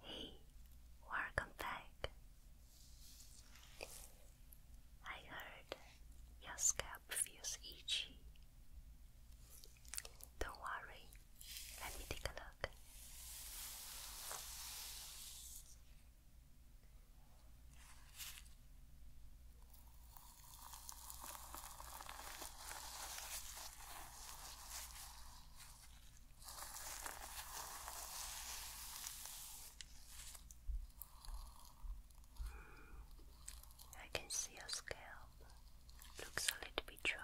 Hey, welcome back. I heard your scalp feels itchy. Don't worry, let me take a look. I can see your scalp looks a little bit dry.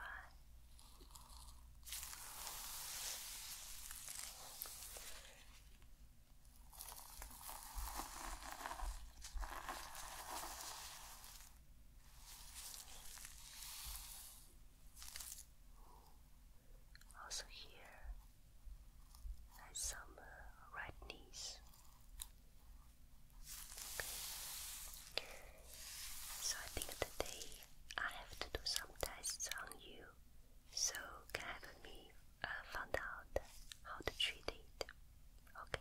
Also here some uh, So I think today I have to do some tests on you, so can have me uh, find out how to treat it. Okay.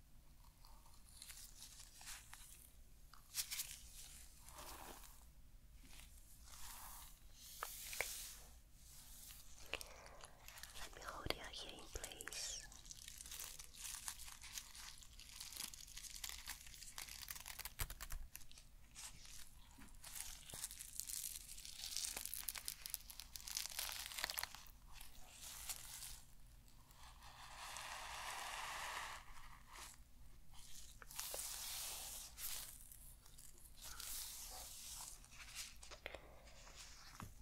Let me hold your hair in place.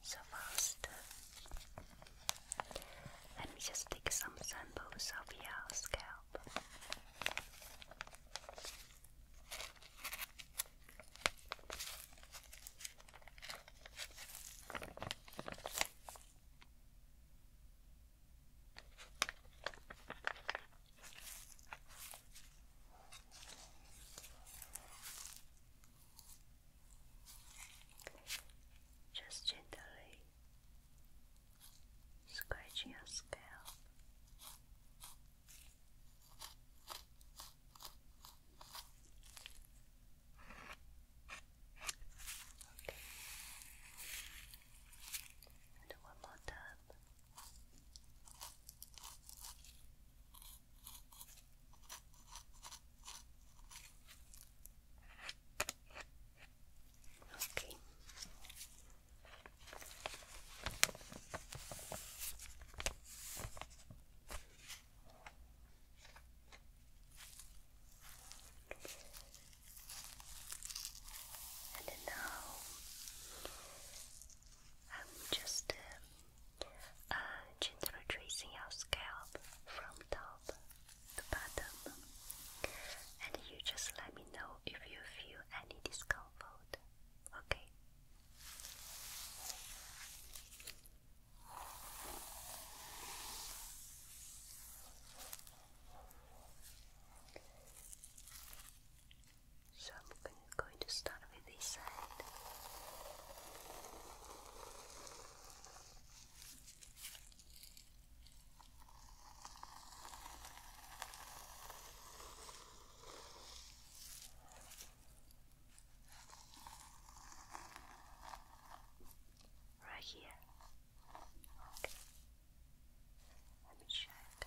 So first, let me just take some samples of your scalp. Just gently scratching your scalp. Okay. And one more time. Okay. And now I'm just uh, uh, gently tracing your scalp from top to bottom, and you just let me know if you feel any discomfort. Okay. So I'm going to start with this side. Right here. Okay. Let me check.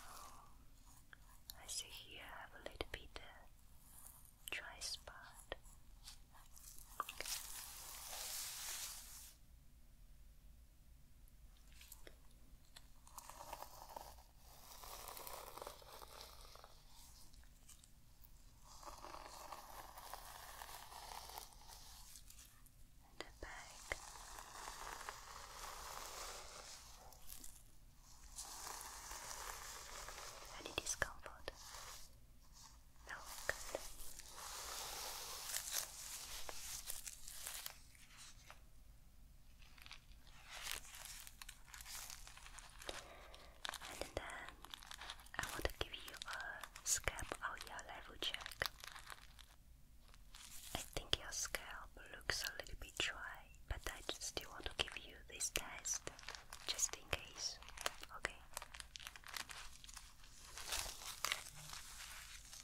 Oh, I see here I have a little bit dry spot. Okay. And a bag. Any discomfort? No, good. And then I want to give you a scalp or ear level check. I think your scalp looks a little bit dry, but I still want to give you this test just in case. Okay.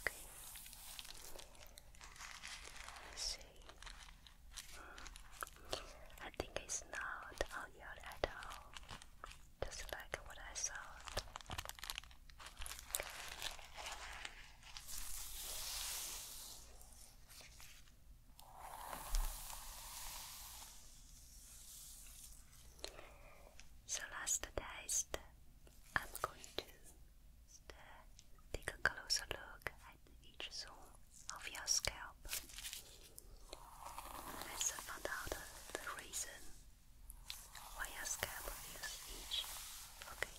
Okay. let see. I think it's not on your at all just like what I saw. So last test, I'm going to take a closer look at each zone of your scalp. Let's find out the reason why your scalp feels itchy. Okay.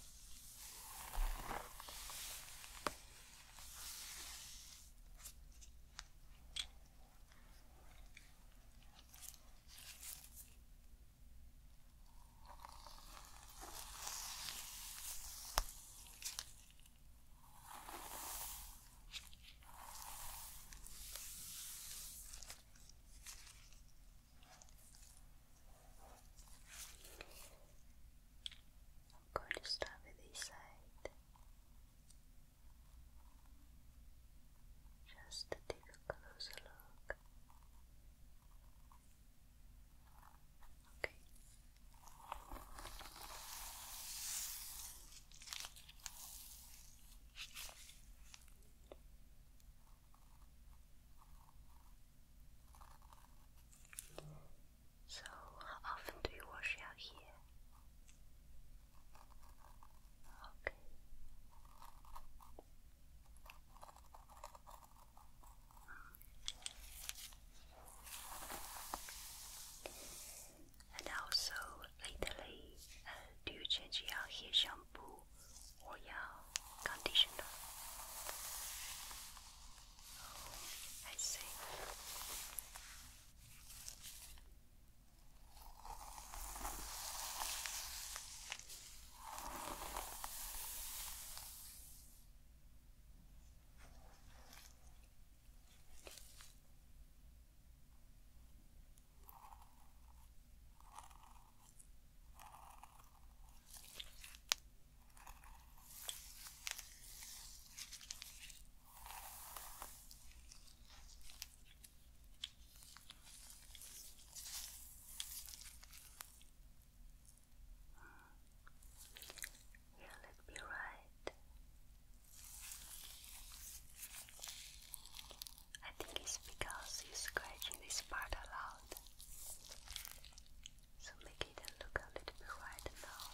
I'm going to start with this side. Just to take a closer look. Okay. So, how often do you wash your hair? Okay. Hmm. And also lately, uh, do you change your hair shampoo or your conditioner? Oh, I see. Yeah, let me I think it's because you're scratching this part a lot. So make it look a little bit now.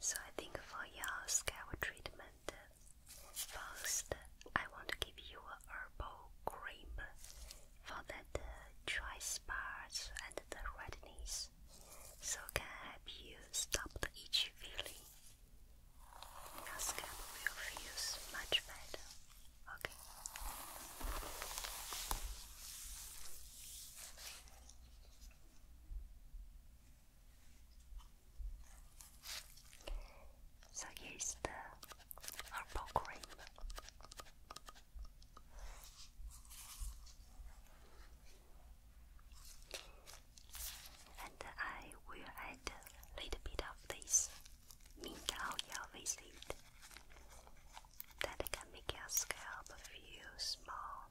So I think for your scalp treatment, first, I want to give you a herbal cream for that uh, dry spots and the redness, so can help you stop the itchy feeling. Your scalp will feel much better. Okay. So here is the purple cream. And I will add a little bit of this mint oil with it. That can make your scalp feel small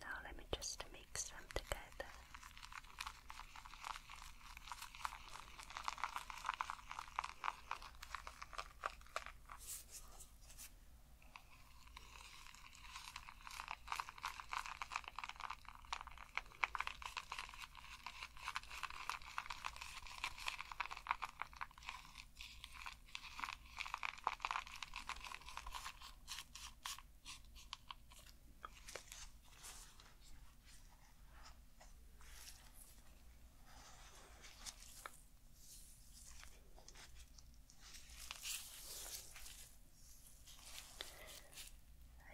Now let me just mix them together. I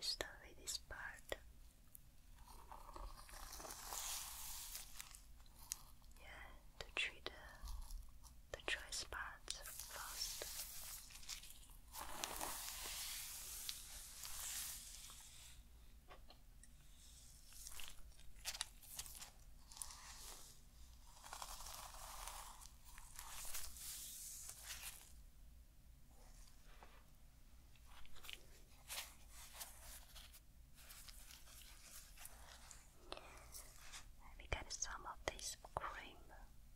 start with this part. Yeah, to treat uh, the dry spots fast. Let me some of this cream.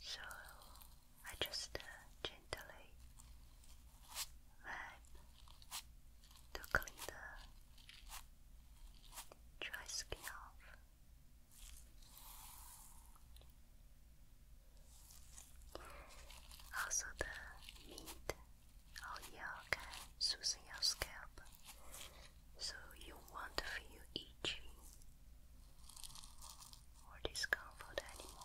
So I just uh, gently wipe to clean the dry skin off. Also, the meat or oil can soothe your scalp so you won't feel itchy or discomfort anymore.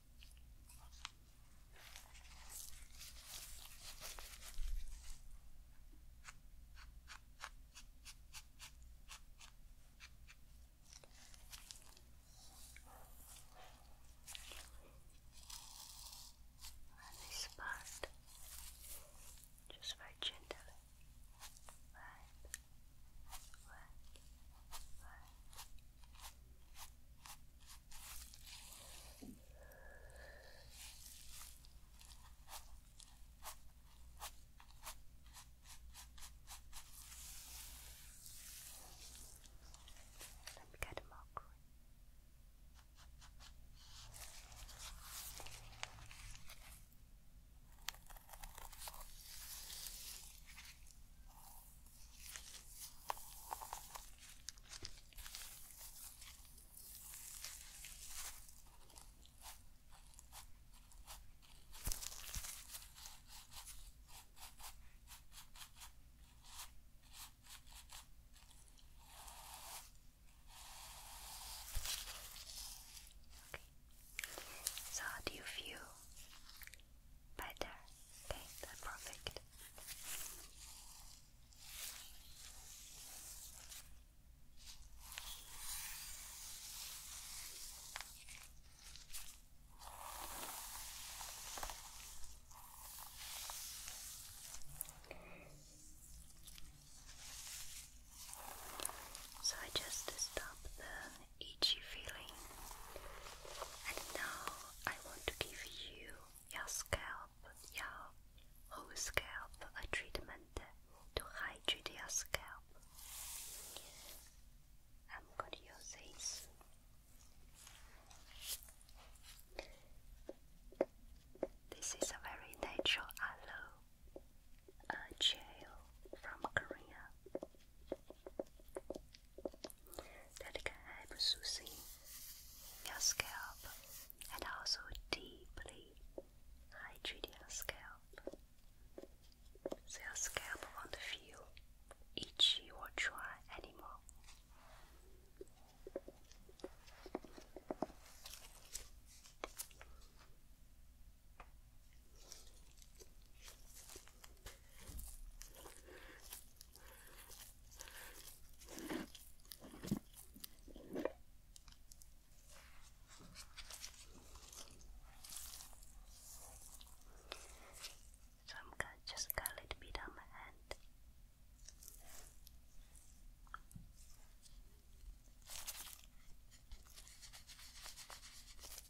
On this part, just very gently, right? Let me get more green. So, how do you feel better. Okay, that's perfect. So I just stop the itchy feeling. And now I want to give you your scalp, your whole scalp, a treatment to hydrate your scalp. I'm going to use this. This is a very natural aloe, uh, gel from Korea that can help soothing your scalp and also deeply hydrate your scalp. So your scalp won't feel itchy or dry anymore. So I'm gonna just got a little bit on my hand.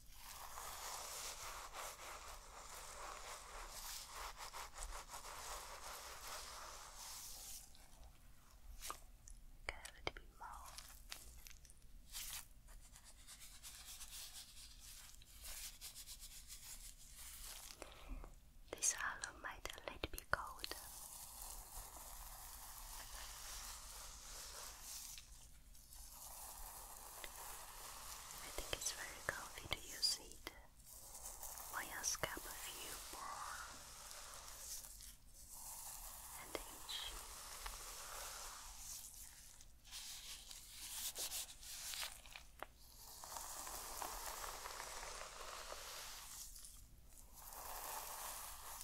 Go a little bit This hollow might a little bit cold. I think it's very comfy to use it while you scalp a few more and inch.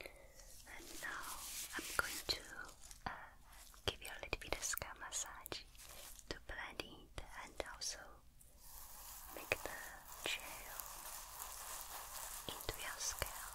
And now I'm going to uh, give you a little bit of scalp massage to blend it and also make the gel into your scalp.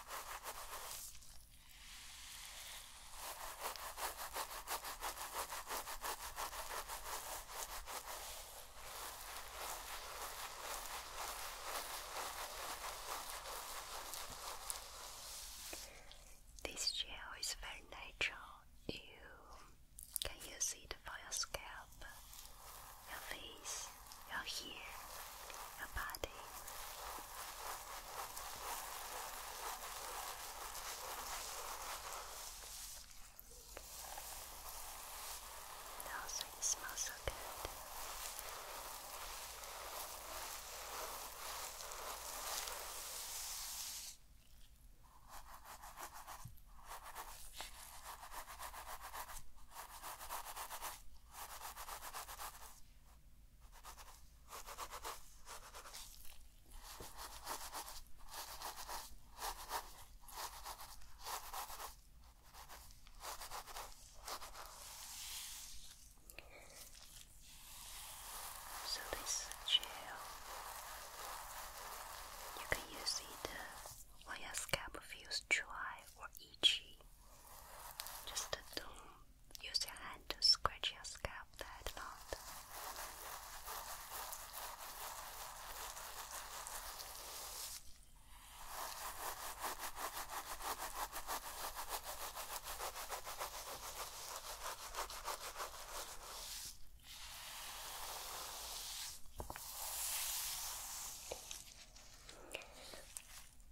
This gel is very natural. You can use it for your scalp, your face your hair, your body. Also, smells so good. So this gel, you can use it uh, when your scalp feels dry or itchy. Just do use your hand to scratch your scalp that loud.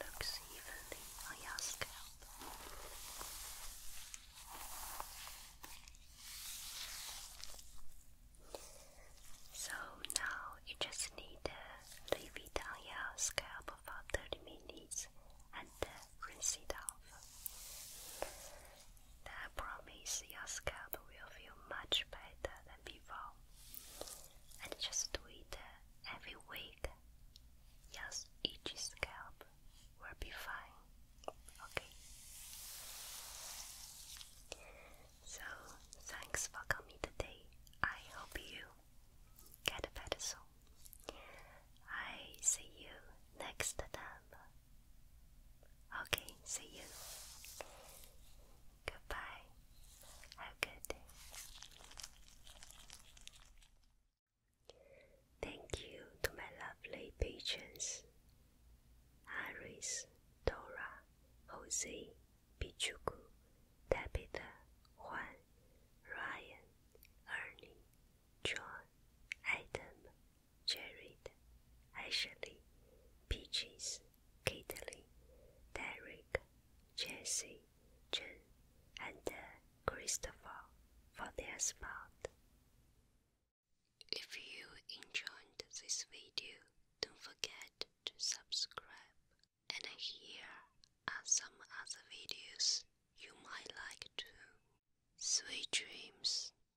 Looks on your scalp. So now you just need to leave it on your scalp for 30 minutes and rinse it off. I promise your scalp will feel much better than before. And just do it uh, every week. Yes, each scalp will be fine. Okay. So, thanks for coming today. I hope you get better soon. I see you next time. Okay, see you. Goodbye. Have good Thank you to my lovely patrons Iris, Dora, Jose, Pichuku, Tabitha, Juan, Ryan, Ernie, John, Adam, Jared, Ashley, Peaches, Kitty, Derek, Jesse, Jen, and uh, Christopher for their support. If you enjoyed this video, don't forget to subscribe. And here are some other videos you might like too. Sweet dreams.